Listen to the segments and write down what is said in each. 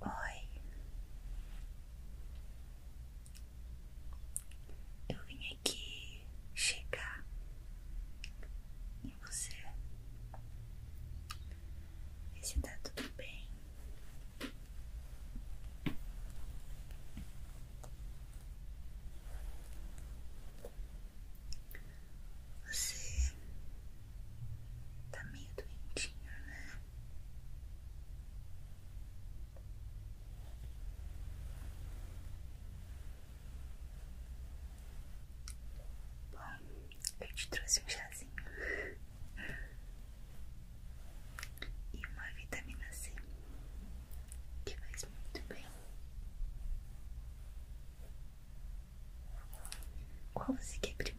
Oi, eu vim aqui chegar em você ver se tá tudo bem. Você tá meio doentinho, né? Bom, eu te trouxe um chazinho Assim. e uma vitamina C que faz muito bem. Qual você quer primeira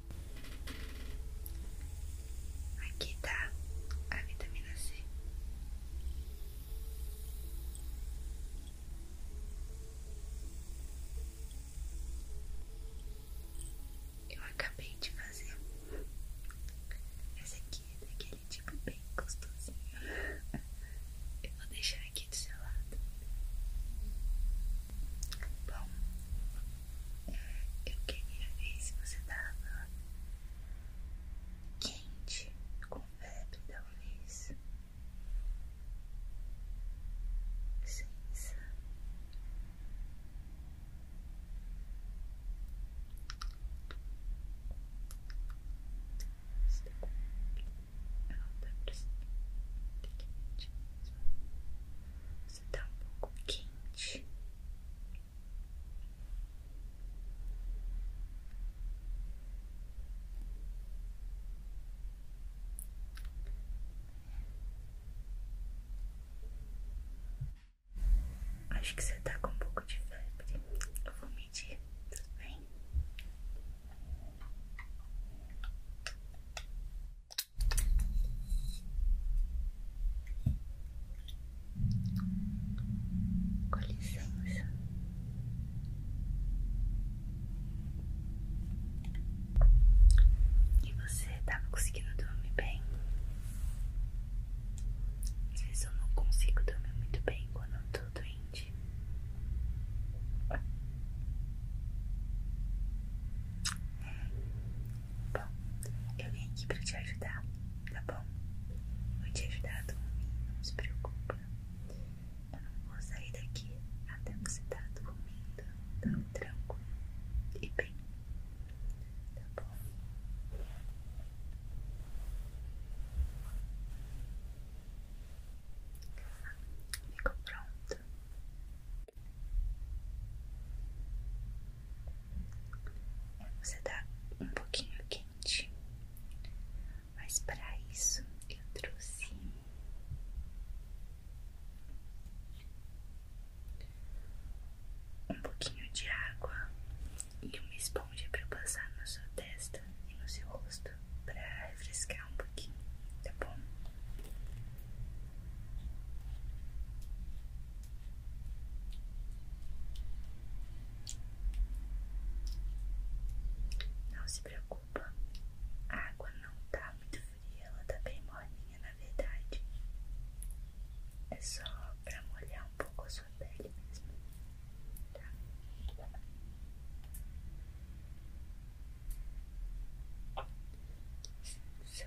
Aqui tá a vitamina C. Eu acabei de fazer essa aqui daquele tipo bem gostosinho. Eu vou deixar aqui do seu lado. Bom, eu queria ver se você tava quente, com febre, talvez. Licença. Ela tá quente mesmo. Você está um pouco quente. Acho que você está com um pouco de febre. Eu vou medir, Vem. Com E você tava conseguindo dormir bem? Às vezes eu não consigo dormir muito bem quando eu tô doente. Bom, eu vim aqui pra te ajudar, tá bom? Vou te ajudar a não se preocupa. Eu não vou sair daqui até você estar tá dormindo, tão tranquilo e bem, tá bom? Ficou pronto. Você tá um pouquinho quente, mas para isso eu trouxe um pouquinho de água e uma esponja para passar na sua testa e no seu rosto para refrescar um pouquinho, tá bom? Não se preocupa, a água não tá muito fria, ela tá bem morninha na verdade. É só pra molhar um pouco a sua pele mesmo, tá? Só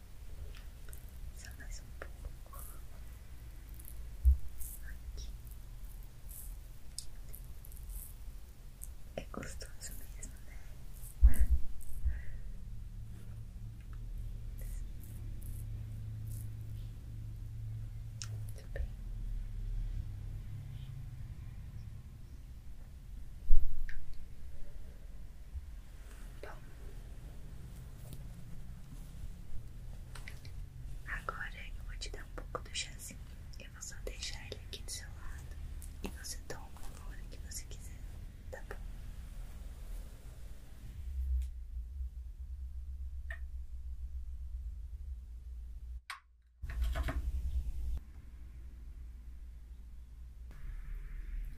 Só mais um pouco aqui. É gostoso mesmo, né? Muito bem. Bom, agora eu vou te dar um pouco do chazinho. Eu vou só deixar ele aqui do seu lado e você toma a hora que você quiser, tá bom?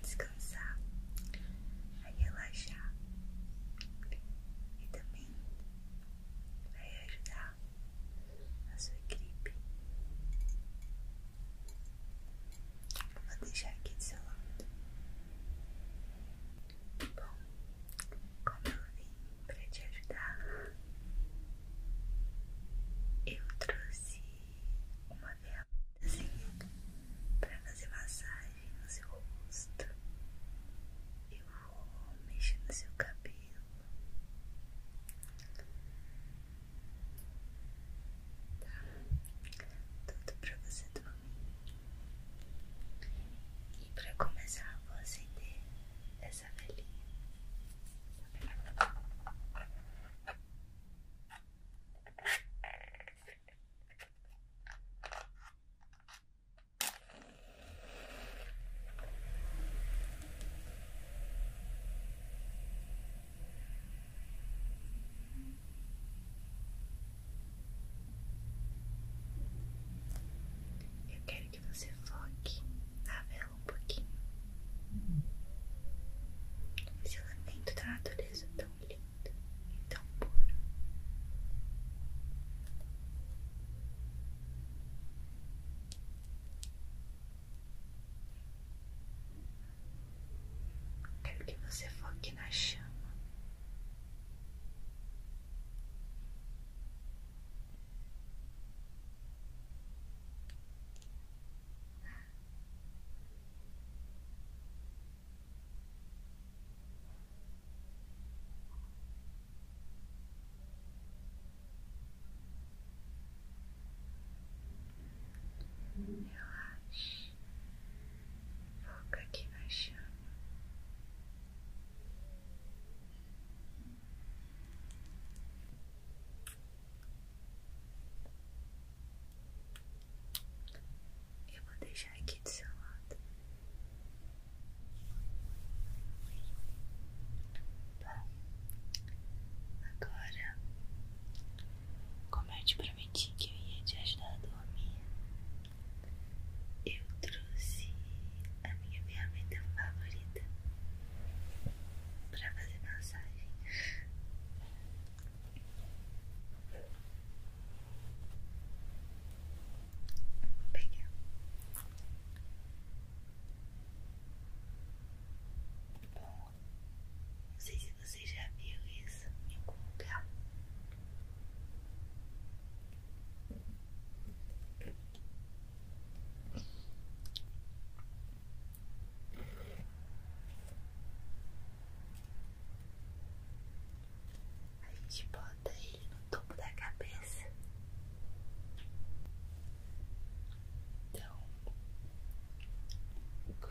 descansar, a relaxar e também vai ajudar a sua gripe. Vou deixar aqui do seu lado. Bom, como eu vim para te ajudar, eu trouxe uma vela assim, pra fazer massagem no seu rosto. Eu vou mexer no seu cabelo. Tá? Tudo pra você dormir. E pra começar, vou acender essa velhinha. Tá eu quero que você foque na vela um pouquinho. Esse elemento da natureza tão lindo e tão puro. Quero que você foque na chama. Relaxe, foca aqui na chama. Eu vou deixar aqui do seu lado tá. Agora Como eu te prometi que eu ia te ajudar a dormir Eu trouxe a minha ferramenta favorita Pra fazer massagem pegar. Bom, não sei se você já viu isso em algum lugar. A gente bota ele no topo da cabeça. Então, com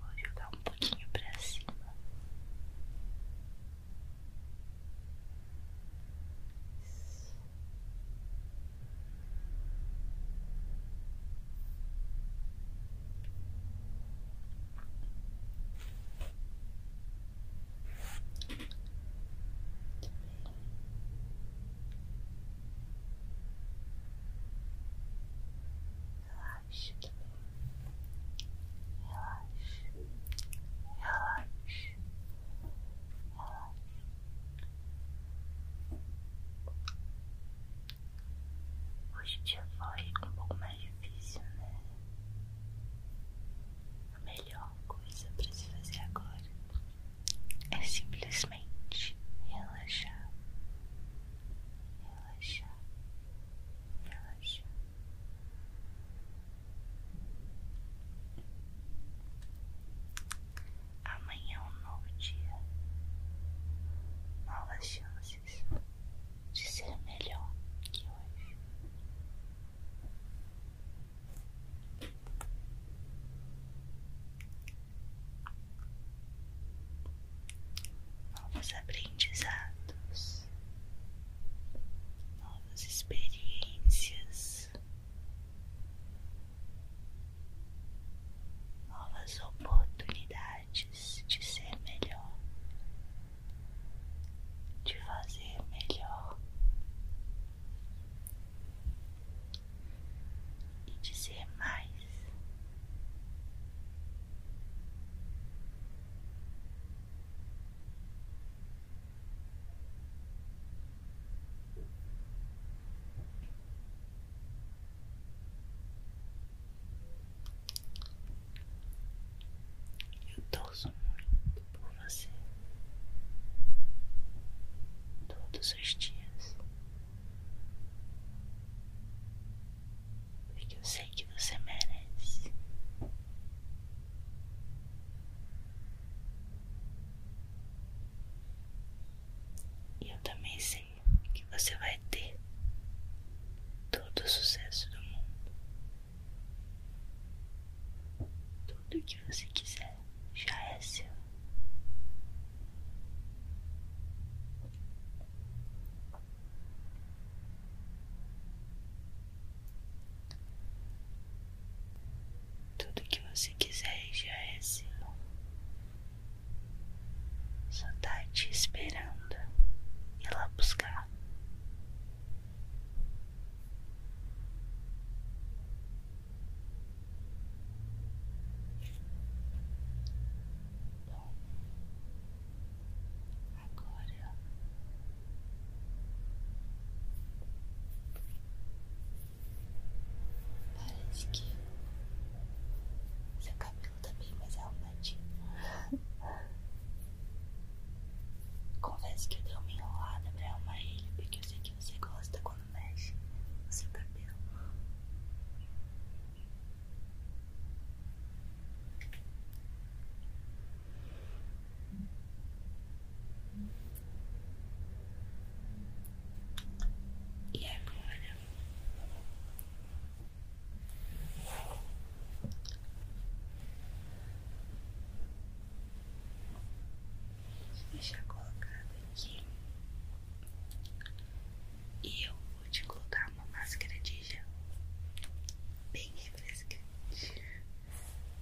Vou jogar um pouquinho pra cima. Relaxa também. Relaxa. Relaxa. Relaxa. Hoje o dia foi um pouco mais difícil, né? A melhor coisa para se fazer agora é simplesmente relaxar relaxar, relaxar. Amanhã é um novo dia, novas chances de ser melhor que hoje novos aprendizados, novas experiências, novas oportunidades de ser melhor, de fazer melhor e de ser mais. Eu torço muito por você todos os dias porque eu sei que você merece. E eu também sei que você vai ter todo o sucesso do mundo. Tudo que você quiser já é seu. Tudo que você quiser já é seu, só tá te esperando ir lá buscar. Agora parece que seu cabelo tá bem mais arrumadinho. Confesso que eu dei uma enrolada pra arrumar ele, porque eu sei que você gosta quando mexe no seu cabelo. E agora vou deixar colocado aqui e eu vou te colocar uma máscara de gel bem refrescante.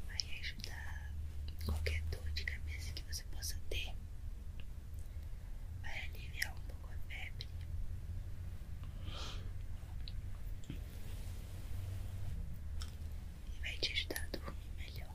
Vai ajudar qualquer dor de cabeça que você possa ter. Vai aliviar um pouco a febre. E vai te ajudar a dormir melhor.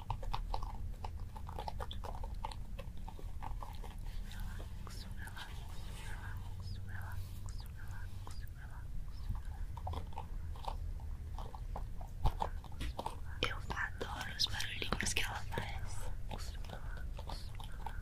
relaxo, relaxo, relaxo, relaxo, relaxo. Eu adoro os barulhinhos que ela faz. Relaxa, relaxa, relaxa,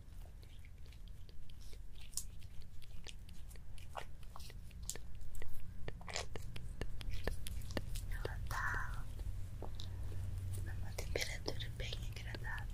Ela tá numa temperatura bem agradável.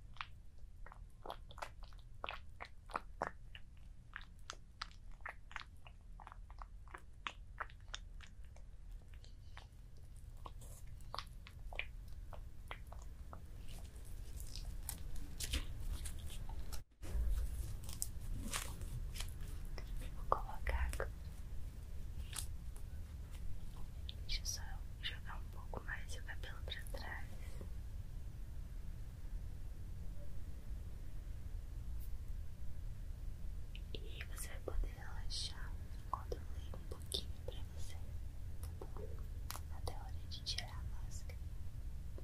Vou colocar. Deixa eu só jogar um pouco mais o cabelo para trás. E você vai poder relaxar quando eu um pouquinho para você, tá bom? Até a hora de tirar a máscara. Relaxa.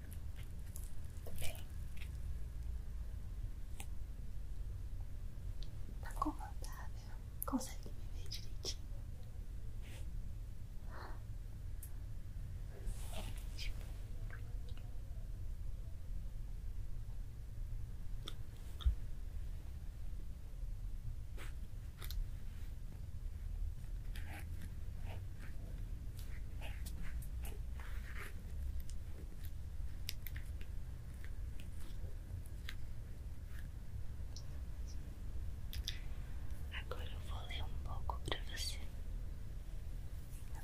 Bem, tá confortável? Consegue me ver direitinho? É Agora eu vou ler um pouco para você. Tá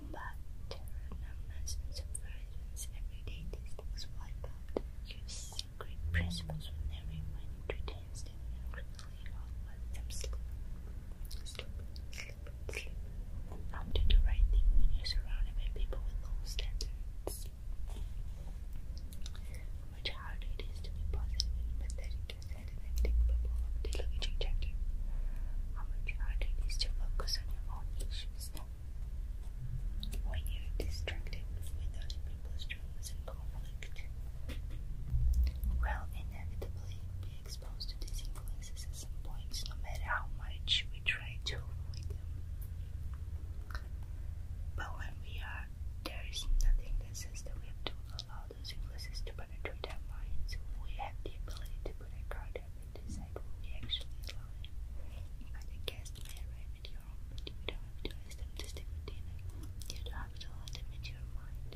Shamba Terranamas and subversions, everyday tastings wipe out your sacred principles with never mind entertains them and criminally all let them slip, slip, slip, do the right thing when you're surrounded by people with low standards. How much harder it is to be positive and empathetic inside an acting bubble of the chapter. How much harder it is to focus on your own issues actions. When you're distracted with other people's dramas and conflict, will inevitably be exposed to these influences at some point. no matter how much we try to avoid them. But when we are, there is nothing that says that we have to allow those influences to penetrate our minds. We have the ability to put our guard order will we actually allow in. Invite a guest may arrive at your home, but you don't have to ask them to stay for You don't have to let them into your mind.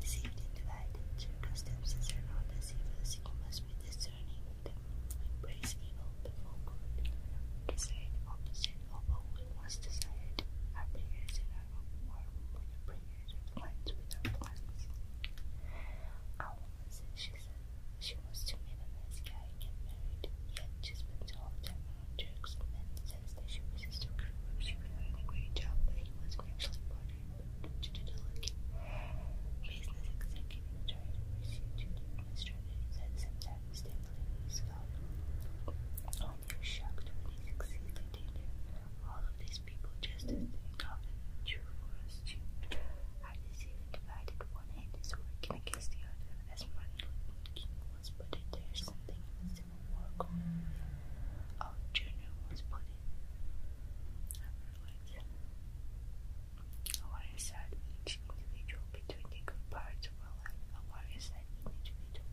Deceived into that, circumstances are not as you must be discerning of evil before good. Decide opposite of what we once desired. Our prayers in our hope are more prayer plans with her plans. she said she wants to meet a nice guy and get married, yet she spends all her time around jerks and then says that she wishes to work. She was doing a great job, but he was an actual partner business executive trying to pursue to the administrator. He said sometimes they believe he's all their shocked when he succeeded in All of these people just as they thought it true for us too. Our decision divided one hand is working against the other as Martin Luther King was but in the Civil War going Our journal was put I realized each individual between the good parts of our life, a warrior side individual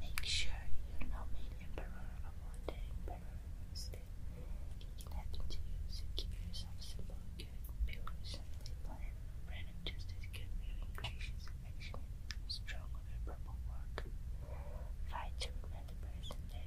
Make sure you're not made emperor of all the emperors that happen to you, so keep yourself simple, good, pure, simply plain, random, just as good, willing, gracious, affectionate, strong, honorable work. Fight to remain the person that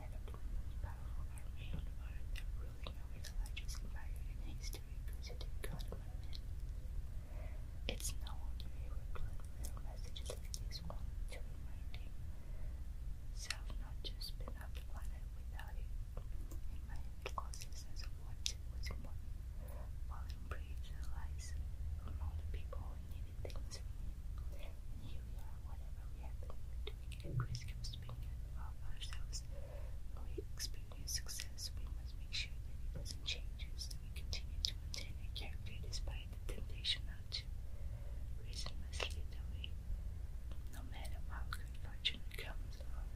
had a most powerful army on earth and ruling over the largest empire in history considered Godman. It's no wonder he would put little messages like this one to remind himself not to spin up the planet without it. In my consciousness of what was important, Fallen preached the lies from all the people who needed things here we are whatever we have been doing at risk of spinning off ourselves. When we experience success, we must make sure that it doesn't change us, we continue to maintain our despite the temptation not to. Reason must lead no matter how good fortune comes along.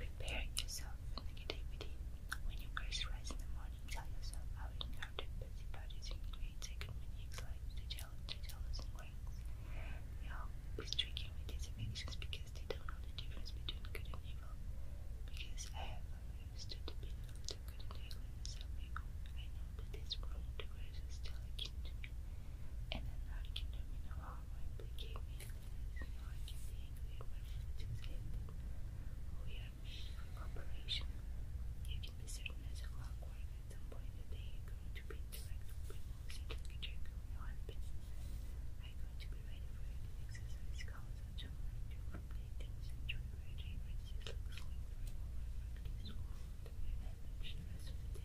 Prepare yourself for negativity. When you first rise in the morning, tell yourself how encountered busybodies in great egomaniacs like the jealous, the jealous and ranks. They hope is tricky with these affections because they don't know the difference between good and evil. Because I have already stood the being of good and evil myself. I know that this world, the grace is still akin to and then I my play game is. You I can be angry at my friends who say are made for You can be certain as a clockwork at some point in the day going to be interacting with most of the jerk of I'm going to be ready for you to exercise calls and to learn to play things and join my favorites. looks like the removal of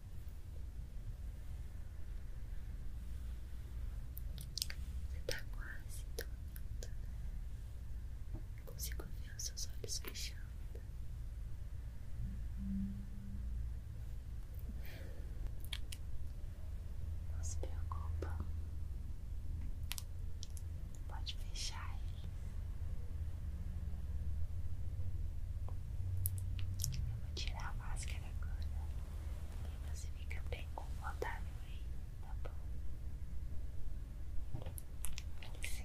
Você tá quase dormindo, né? consigo ver os seus olhos fechando. Não se preocupa, pode fechar eles. Eu vou tirar a máscara agora e você fica bem confortável aí, tá bom? Com licença.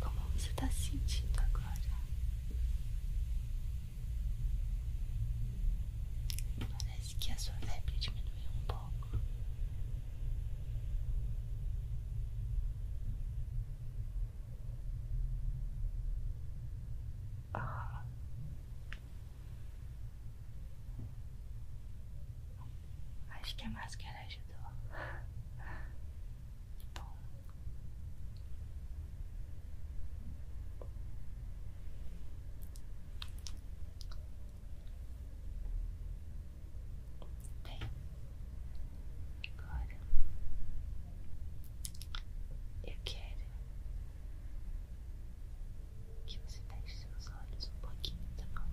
Como você está se sentindo agora? Parece que a sua febre diminuiu um pouco. Ah. Acho que a máscara ajudou. bom. Bem, agora eu quero que você feche seus olhos um pouquinho, tá bom?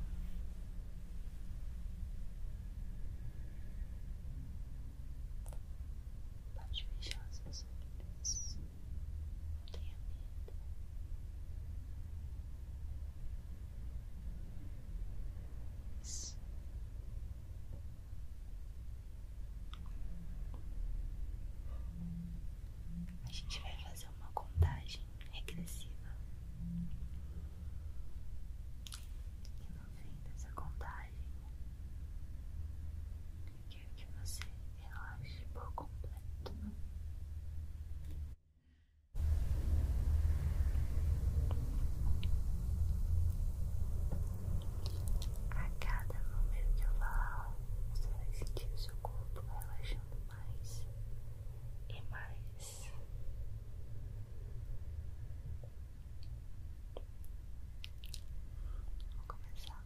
Pode fechar seus olhos, não tenha medo. A gente vai fazer uma contagem regressiva. E no fim dessa contagem, eu quero que você relaxe por completo. A cada momento que eu falar, você vai sentir o seu corpo relaxando mais e mais. Vou começar.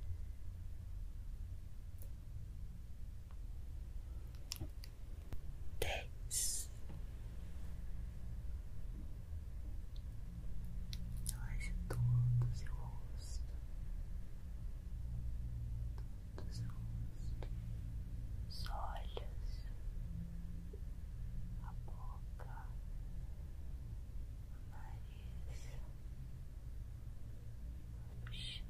10. todos todo o seu rosto. Todo o rosto. Os olhos. A boca. O nariz. Nove, oito, sete,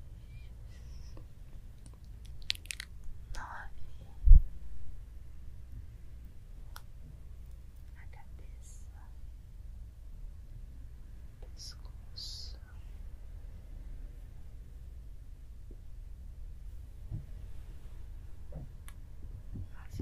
a cabeça, pescoço, as orelhas. As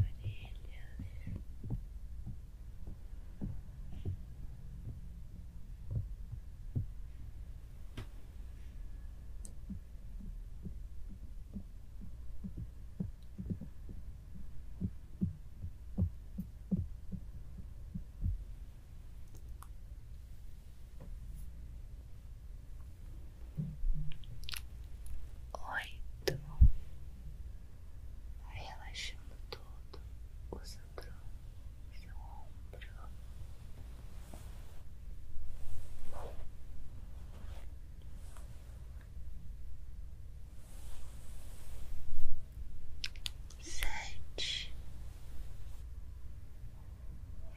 Oito, vai relaxando todo o seu seu ombro. Sete.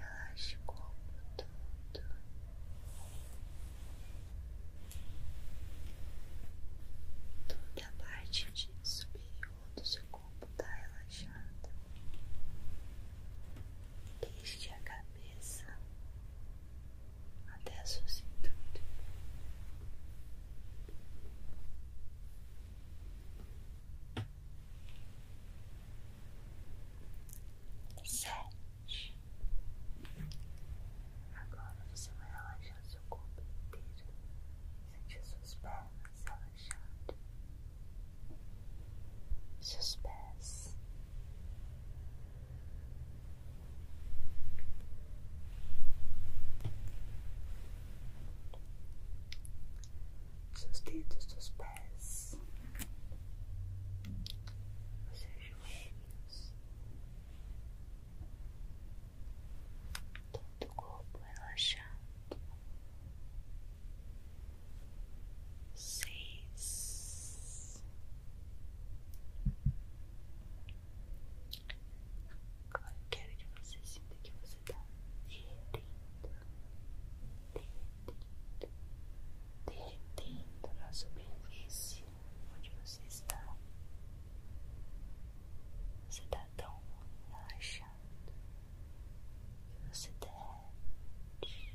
Relaxe o corpo todo. Toda a parte de superior do seu corpo está relaxada. Desde a cabeça até a sua cintura. Sete. Agora você vai relaxar seu corpo inteiro. Sentir suas pernas relaxando. Seus pés seus dedos dos pés, os seus joelhos, todo o corpo relaxado. Seis. Agora quero que você sinta que você está derretendo, derretendo, derretendo na superfície onde você está. Você está tão relaxado que você derrete,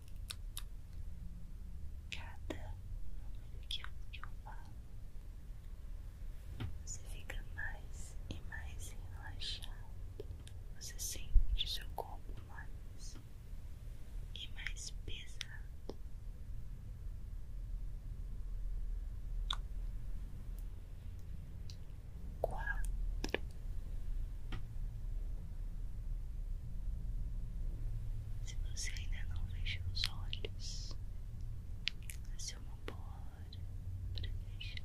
cada número que eu, falo, você fica mais e mais relaxado, você sente seu corpo mais e mais pesado. Quatro. Se você ainda não fechou os olhos, essa é uma boa hora para fechar.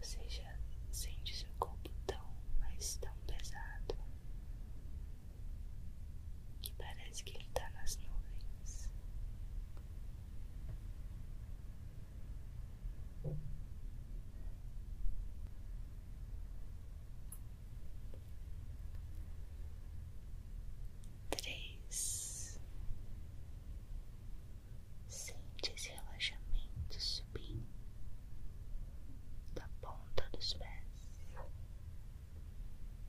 Você já sente seu corpo tão, mas tão pesado que parece que ele tá nas nuvens. Três. Sente esse relaxamento subindo da ponta dos pés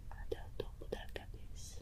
até o topo da cabeça.